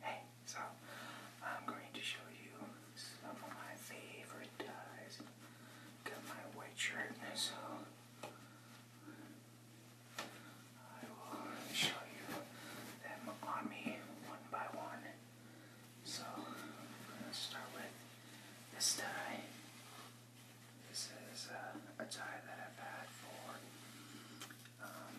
Hey, so I'm going to show you some of my favorite dyes. Got my white shirt, so I will show you them on me one by one. So I'm start with this dye. This is uh, a tie that I've had for um,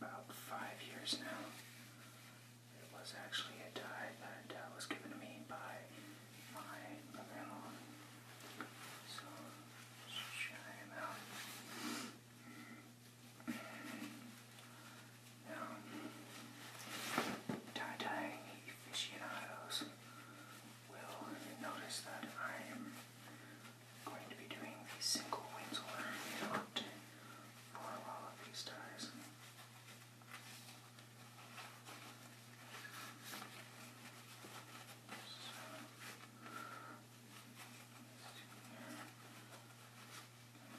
about five years now. It was actually a tie that uh, was given to me by my brother So, just him out. Now, tie-dyeing aficionados will notice that I am going to be doing the single Winslow out for a of these ties.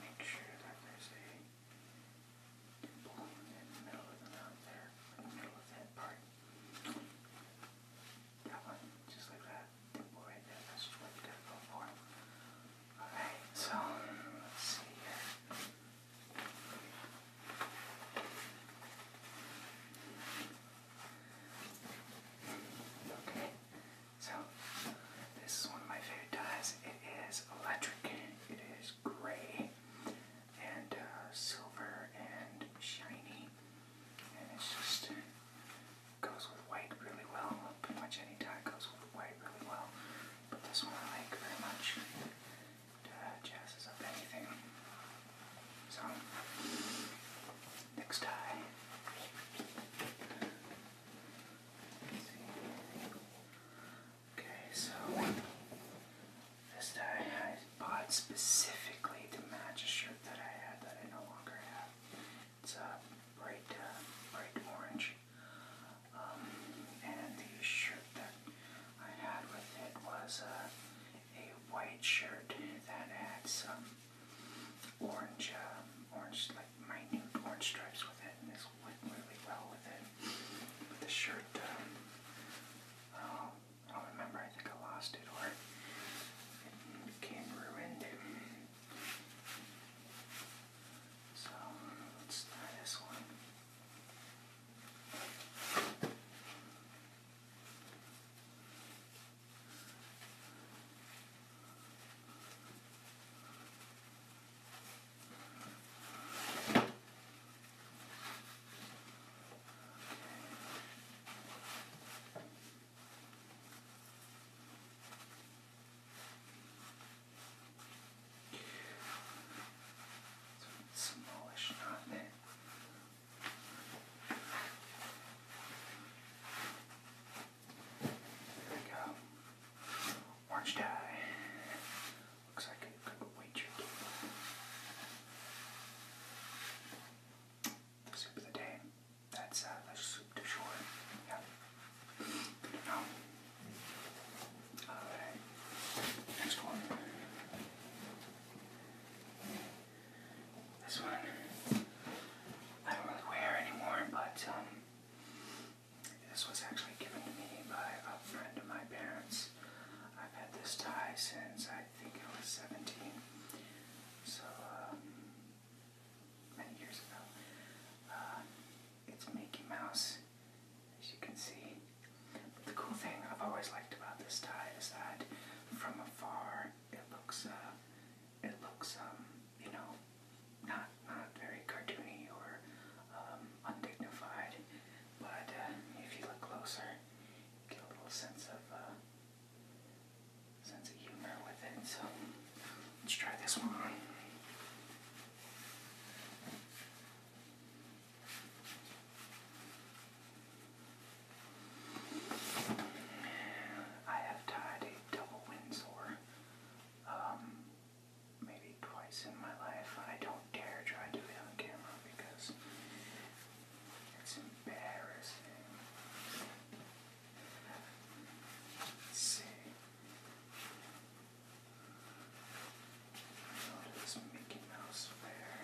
Make sure that there's a dimple in the middle of the there, middle of that part. That one, just like that dimple right there. That's what we gotta Alright, so let's see here. Okay, so this is one of my favorite dyes. It is electric, it is gray and uh, silver and shiny and it's just goes with white really well. Pretty much any dye goes with white really well, but this one I like very much. Uh, jazzes up anything. So next dye. Okay, so this time I bought specifically to match a shirt that I had that I no longer have. It's a bright, uh, bright orange. Um, and the shirt that I had with it was uh, a white shirt that had some orange, uh, orange like minute orange stripes with it, and this went really well with it. But the shirt, um, uh, I don't remember, I think I lost it or it became ruined. So let's try this one smallish, not it? There we go. Orange dye. Looks like the soup of the day. That's the soup du jour. Yeah. Alright. Next one. This one. I don't really wear anymore, but um this was actually given to me by a friend of my parents. I've had this tie since I I think it was 17. So, um, many years ago. Uh, it's Mickey Mouse, as you can see. But the cool thing I've always liked about this tie is that from afar it looks, uh, it looks, um, you know, not not very cartoony or um, undignified. But uh, if you look closer, get a little sense of uh, sense of humor with it. So let's try this one I have tied a double Windsor um, maybe twice in my life. I don't dare try to do it on camera because it's embarrassing. Let's see. Notice Mickey Mouse there.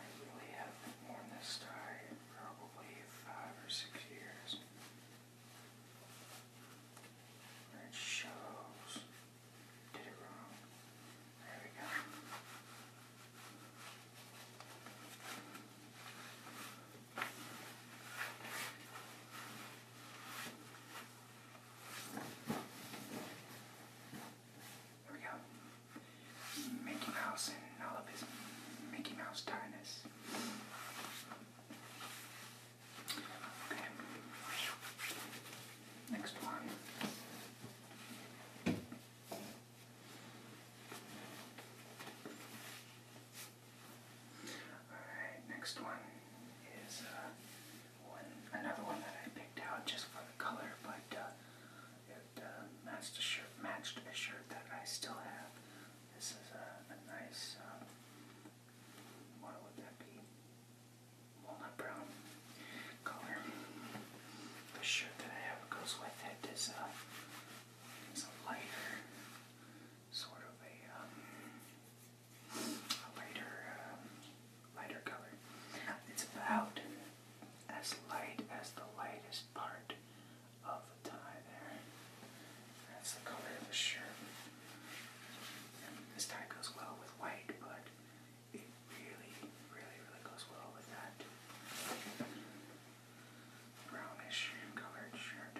I really haven't worn this tie probably five or six years. It shows there we go. There we go. Mickey Mouse and all of his Mickey Mouse tiredness. Okay. Next one. Alright, next one is uh, another one that I picked out just for the color, but uh, it uh, matched, a shirt, matched a shirt that I still have. This is a, nice, uh, what would that be? walnut brown color. The shirt that I have goes with it is a, uh, is a lighter, sort of a, um, lighter, um, lighter color. It's about as light as the lightest part of the tie there. That's the color of the shirt. this tie goes well with white, but it really, really, really goes well with that brownish colored shirt.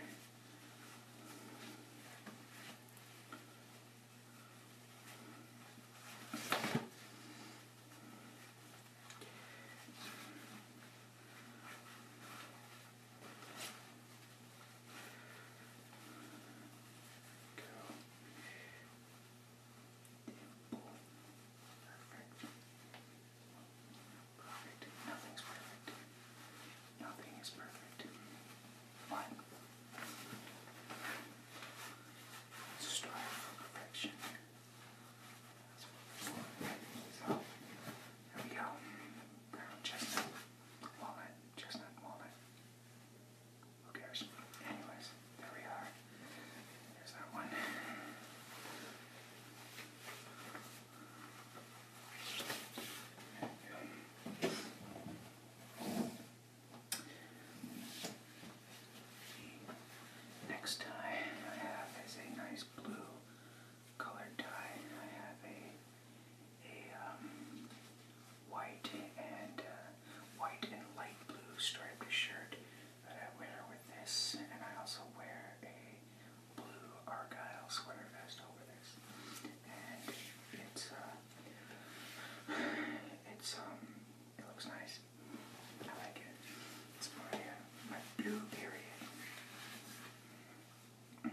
Cool. Perfect. Nothing's perfect. Nothing is perfect. One. strive for perfection. So, there we go. Brown chestnut, walnut, chestnut, walnut. Who Anyways, there we are. There's that one. next tie I have is a nice blue colored tie. I have a a um, white and uh, white and light blue striped shirt that I wear with this, and I also wear a blue argyle sweater vest over this, and it's uh, it's um, it looks nice. I like it. It's my uh, my blue period. Mm,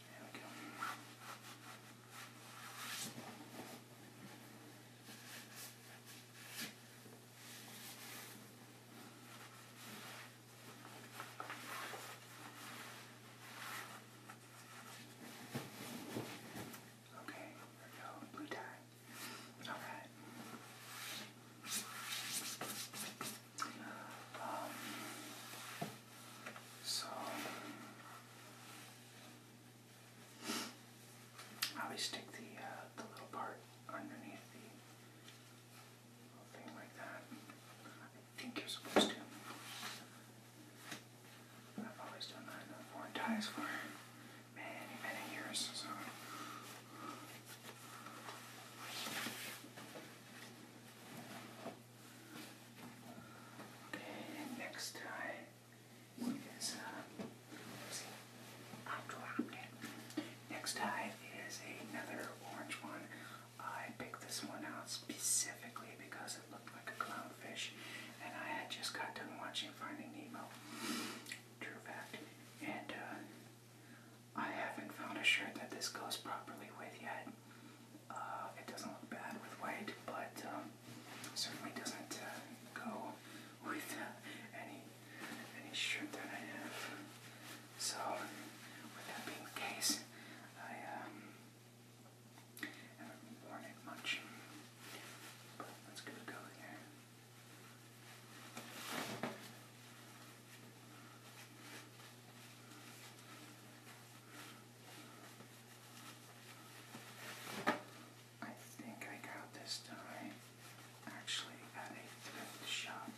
There we go. Okay, there we go. Blue tie. All right. Um, so I always stick the uh, the little part underneath the thing like that. I think you're supposed to. I've always done that in foreign ties for many, many years. So. Okay, next time is um, uh, see, I Next time is another orange one. I picked this one out specifically because it looked like a clownfish, and I had just got done watching Finding Nemo. True fact, and uh, I haven't found a shirt that this goes properly with yet. Uh, it doesn't look bad with white, but um, certainly doesn't uh, go with uh, any any shirt that I have. So, with that being the case, I um, haven't worn it much. But let's give it a go here. I think I got this dye actually at a thrift shop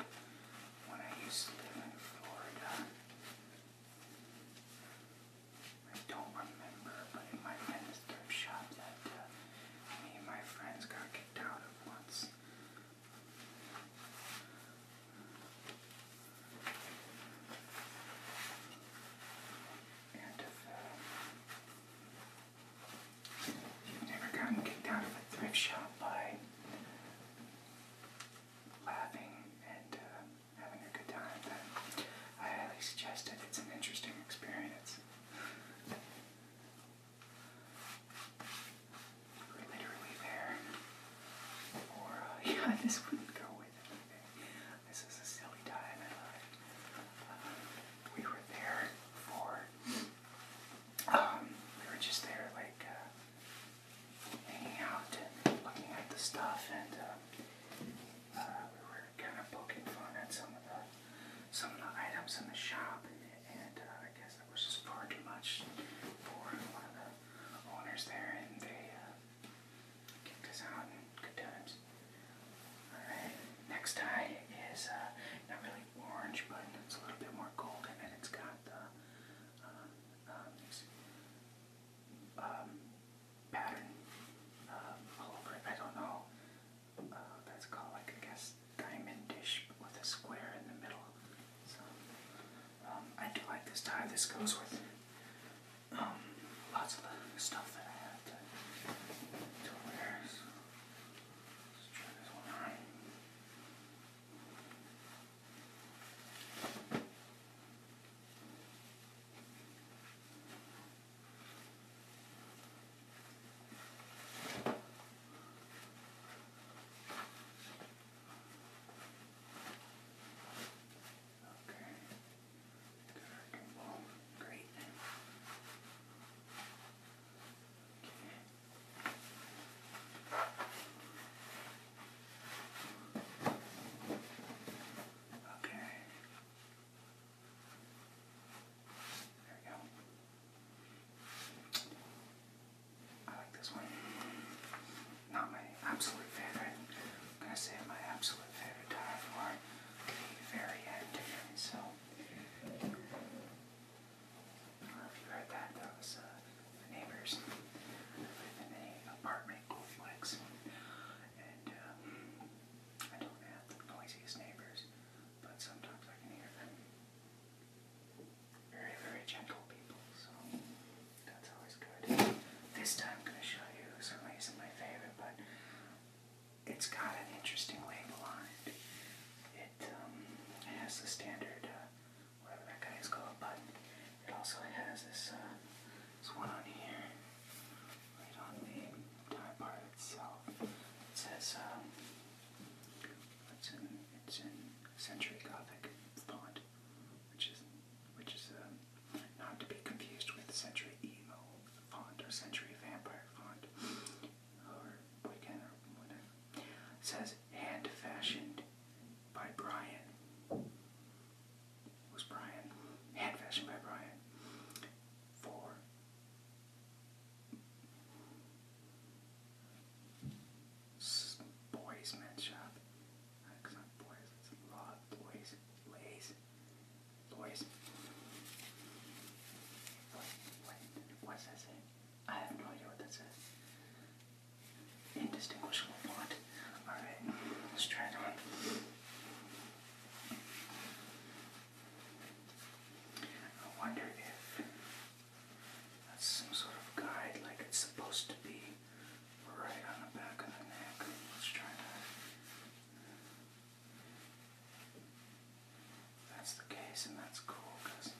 when I used to live in Florida. I don't remember, but it might have the thrift shop that uh, me and my friends got kicked out of once. And you've uh, never gotten kicked out of a thrift shop by laughing and uh, having a good time, then I highly suggest it. It's an interesting experience literally there. Or, uh, yeah, this wouldn't go with anything. This is a silly time in life. Um, we were there for, um, we were just there, like, uh, hanging out and looking at the stuff, and, uh, uh, we were kind of poking fun at some of the, some of the items in the shop, and, and uh, I guess that was just far too much for one of the owners there, and they uh, kicked us out good times. Alright, next tie is uh, not really orange, but it's a little bit more golden, and it's got the uh, um, um, pattern um, all over it. I don't know. that's called like I guess diamondish with a square in the middle. Um, I do like this tie. This goes with um, lots of the stuff that I have to, wear. let's try this one on. Okay. Good working Great. Okay. Okay. There we go. I like this one. Not my absolute favorite. I'm gonna say my absolute favorite tie for the very end So, I don't know if you heard that. That was the uh, neighbors. I in an apartment complex, and um, I don't have the noisiest neighbors, but sometimes I can hear them very, very gentle people, so that's always good. This time I'm going to show you some isn't my favorite, but it's got an interesting label on it. Um, it, has the standard, uh, whatever that guy is called, but it also has this, uh, this one on here, right on the tie part itself. It says, um, what's in it's in century Gothic font, which is which is um, not to be confused with century emo font or century vampire font or Wiccan or whatever. says hand fashioned by Brian. It Brian hand fashioned by Brian for boys' men's shop. Because not boys, boys, boys. Wait, what's that saying? I have no idea what that says. Indistinguishable font. Alright, let's try it on. I wonder if that's some sort of guide, like it's supposed to be right on the back of the neck. Let's try that. That's the case, and that's cool because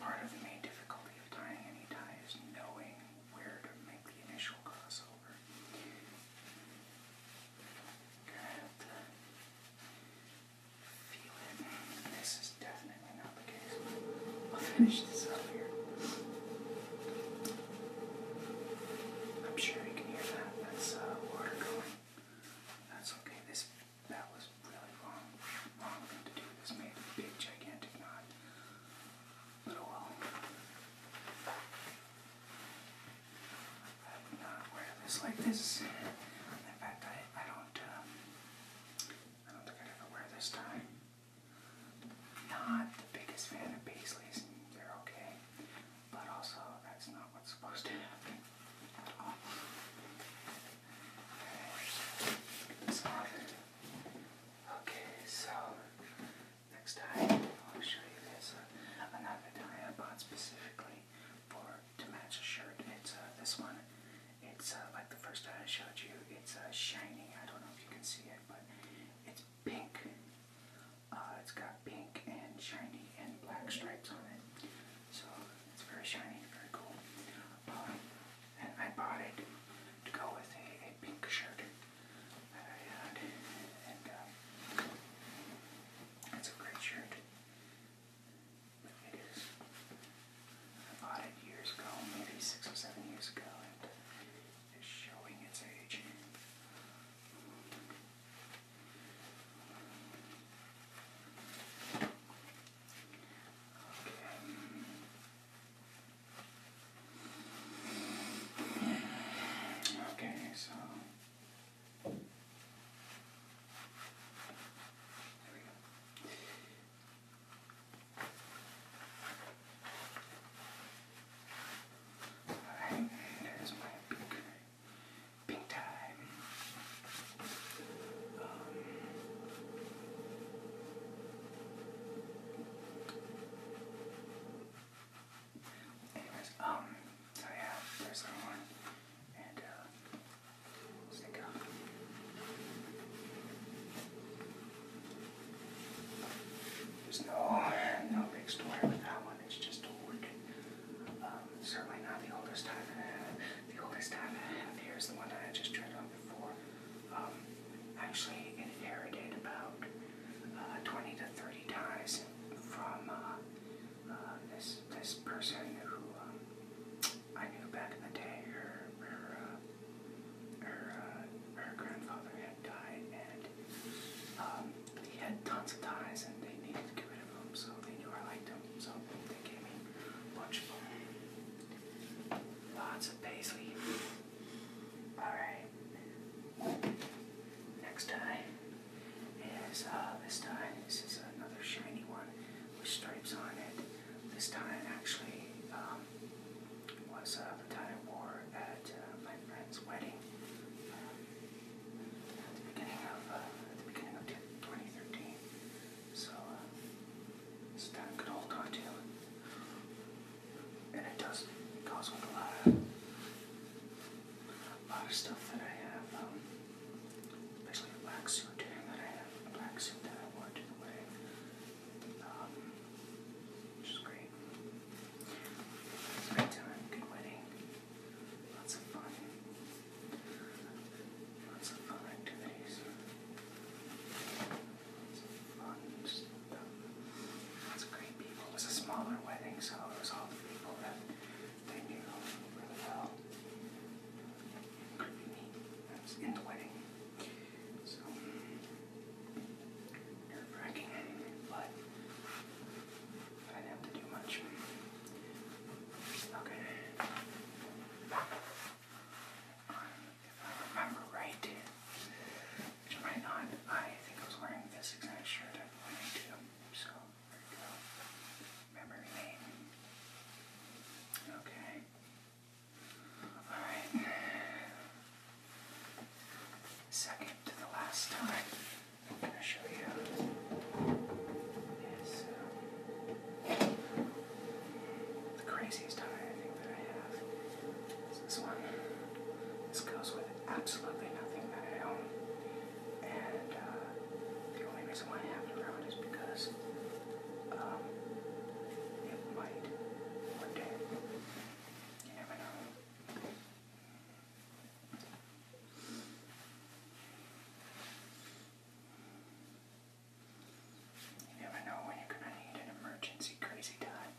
part of the main difficulty of tying any tie is knowing where to make the initial crossover. Got feel it. This is definitely not the case. I'll finish this up here. I'm sure you can hear that. That's uh, water going. That's okay. This that was really wrong. Wrong thing to do. This made a big gigantic knot. But oh well. I'm not aware of this like this. In fact, I, I don't, um, I don't think I'd ever wear this tie. Not the biggest fan of Paisleys, they're okay. But also, that's not what's supposed to happen at all. Okay, so, okay, so next time I'll show you this. Uh, another I bought specifically for to match a shirt. It's uh, this one. It's uh, like the first time I showed you. It's uh, shiny. I don't know if you can see it, but it's pink. it's got pink and shiny and black stripes on it. So it's very shiny, very cool. Um, and I bought it to go with a, pink shirt that I had. And it's a great shirt. I bought years ago, maybe six or seven years ago, and it's showing its age. Okay. Okay, so there we Alright, there's my pink, pink tie. anyways, um, so yeah, there's one. Uh, There's no, no big story with that one. It's just old. Um, certainly not the oldest time I have. The oldest time I have here is the one that I just tried on before. Um, actually, it inherited about uh, 20 to 30 ties from uh, uh, this this person who um, I knew back in the day, her her uh, her, uh, her grandfather had died, and um, he had tons of ties, and they needed to get rid of him, so they knew I liked him, so they gave me a bunch of them. Lots of paisley. All right. Next time is uh, this time. This is another shiny one with stripes on it. This time actually um, was uh, the tie I wore at uh, my friend's wedding um, at the beginning of uh, the beginning of 2013. So this time could hold on to, and it does it goes with a lot a lot of stuff that I have, um, especially a black suit that I have, a black suit that I wore to the wedding, um, which is great. great time, good wedding, lots of fun, lots of fun activities, lots of fun stuff, lots of great people. It was a smaller wedding, so it was all the people that they do really well. That's in the wedding. So nerve wracking, but I didn't have to do much. Okay. If I remember right, which might not, I think I was wearing this exact shirt Okay. Alright. Second to the last time, I'm going to show you uh, the craziest tie that I have this one. This goes with absolutely nothing that I own. And uh, the only reason why I haven't grown is because um, it might one day. You never know. You never know when you're gonna need an emergency crazy time.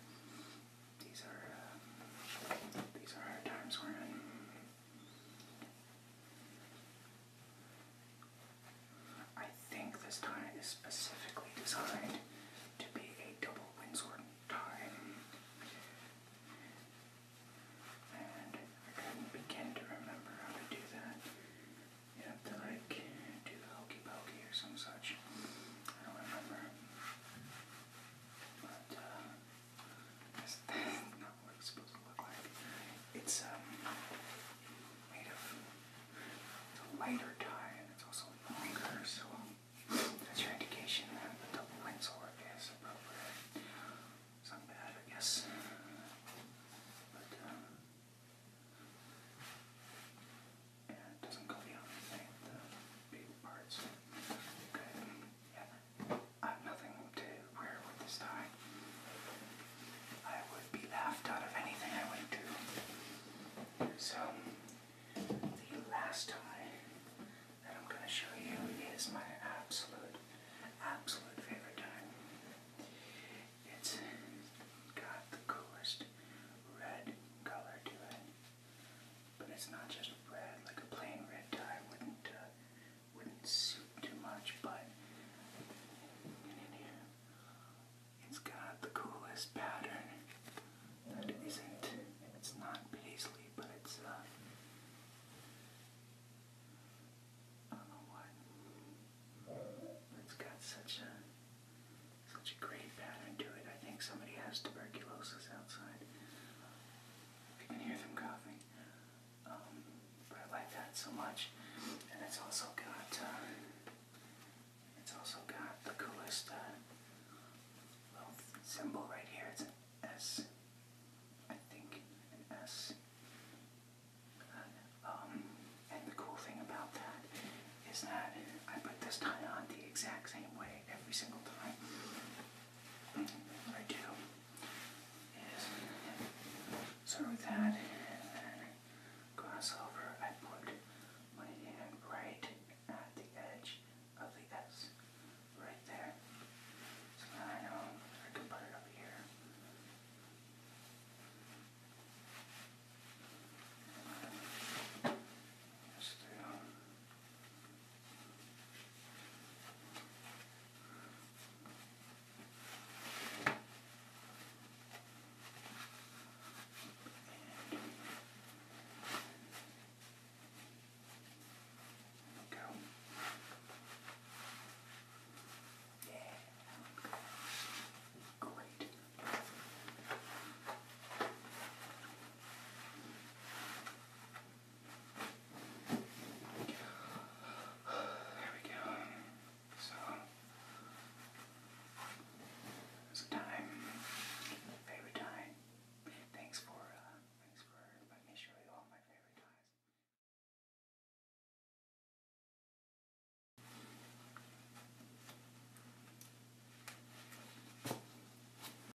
These are uh, these are hard times we're in. I think this tie is specifically designed to be a double Windsor tie. And I couldn't begin to remember how to do that. You have to like do the hokey pokey or some such. I don't remember. But uh, it's um, made of a lighter tie, and it's also longer, so that's your indication that the double windsor is appropriate. It's not bad, I guess. But, uh, it doesn't go beyond the, big parts. Okay, I have nothing to wear with this tie. I would be laughed out of anything I would do. So, the last tie that I'm going to show you is my absolute, absolute favorite tie. It's got the coolest red color to it. But it's not just red, like a plain red tie wouldn't uh, wouldn't suit too much, but it's got the coolest pattern that isn't, it's not paisley, but it's, uh, I don't know what, it's got such a, such a great pattern to it. I think somebody has tuberculosis outside you can hear them coughing. Um, but I like that so much. And it's also got uh, it's also got the coolest uh, little symbol right here. It's an S. I think an S. Um, and the cool thing about that is that I put this tie on the exact same way every single time what I do is start with that and then cross over. I put my hand right at the edge of the S, right there. So now I know I can put it up here. Just through we go. Yeah, great. There we go. So, time. Favorite time. Thanks for, uh, thanks for letting me show you all my favorite ties.